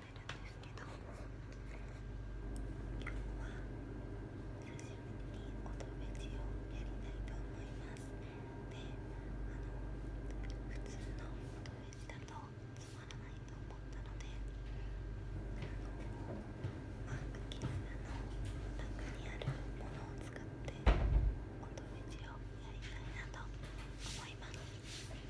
なるんですけど今日は久しぶりにおとべをやりたいと思いますであの普通のおとべだとつまらないと思ったのであのマークキングの中にあるものを使っておとべをやりたいなと思います。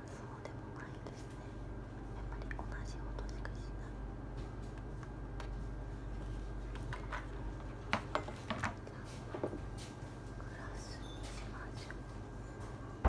そうでもないですねやっぱり同じ音しかしないグラスにしましょう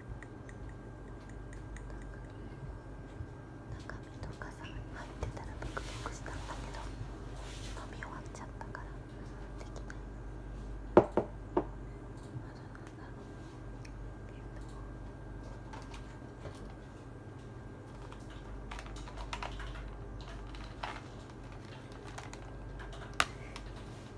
中身とかさ入ってたらブクブクしたんだけど飲み終わっちゃったからできないあとなんだろうええっと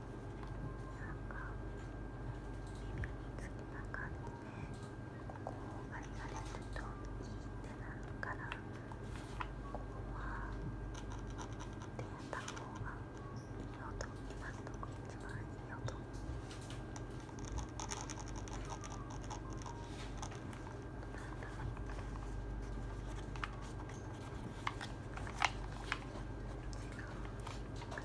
か耳につきな感じでここをあれされるといいってなるからここは手やった方がいいよと今のとこ一番いいよと。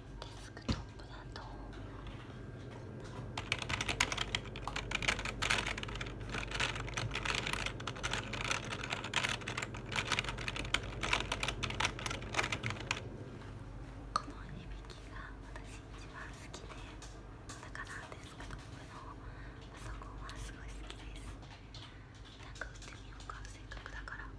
デスクトップだとこの響きが私一番好きでだからデスクトップのパソコンはすごい好きですなんか打ってみようかせだから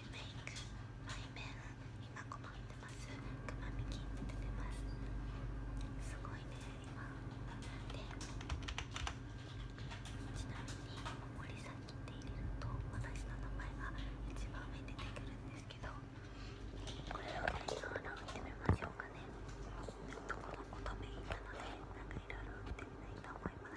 メイクマイ今困ってますクマミキってますすごいね今でちなみに森崎って入れると私の名前が一番上に出てくるんですけどこれをやりながらってみましょうかねどこの乙女いたのでなんかいろいってないと思い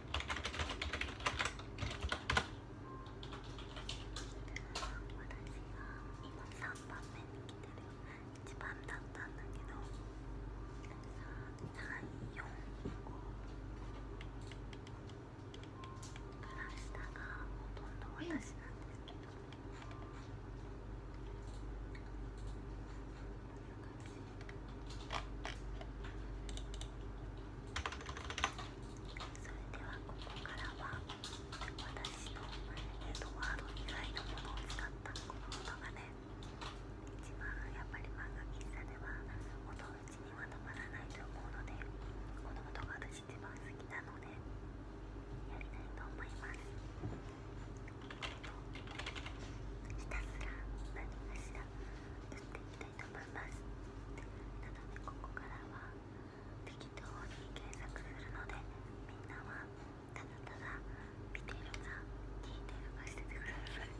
私が今3番目に来てる1番だったんだけど345から下がほとんど私なんですけど。それではここからは私のエドワード以外のものを使ったこの音がね一番やっぱり漫画喫茶では音打ちにはたまらないと思うのでこの音が私一番好きなのでやりたいと思いますえっと。ひたすら何かした？きたいと思いますなのでここからは適当に検索するのでみんなはただただ見てるか聞いてるかしててくださいこ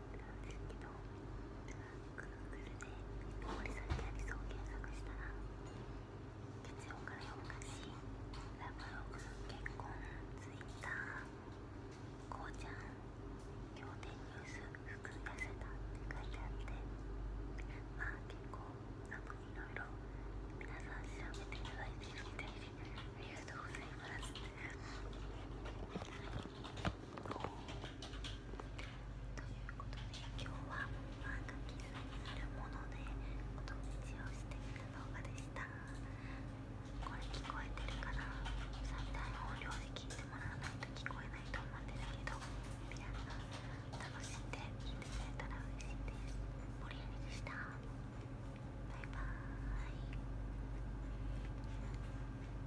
なんですけど Google で森崎ありそう検索したら月曜から夜更かしラブロの結婚ツイッターこうちゃん仰天ニュース服痩せたって書いてあってまあ結構あのいろいろ皆さん調べていただいているみたいでありがとうございますとというこで、今日は漫画喫茶にあるものでお友達をしてみた動画でしたこれ聞こえてるかな最大音量で聞いてもらわないと聞こえないと思うんですけど皆さん楽しんで聞いてくれたら嬉しいです盛り上げでしたバイバーイ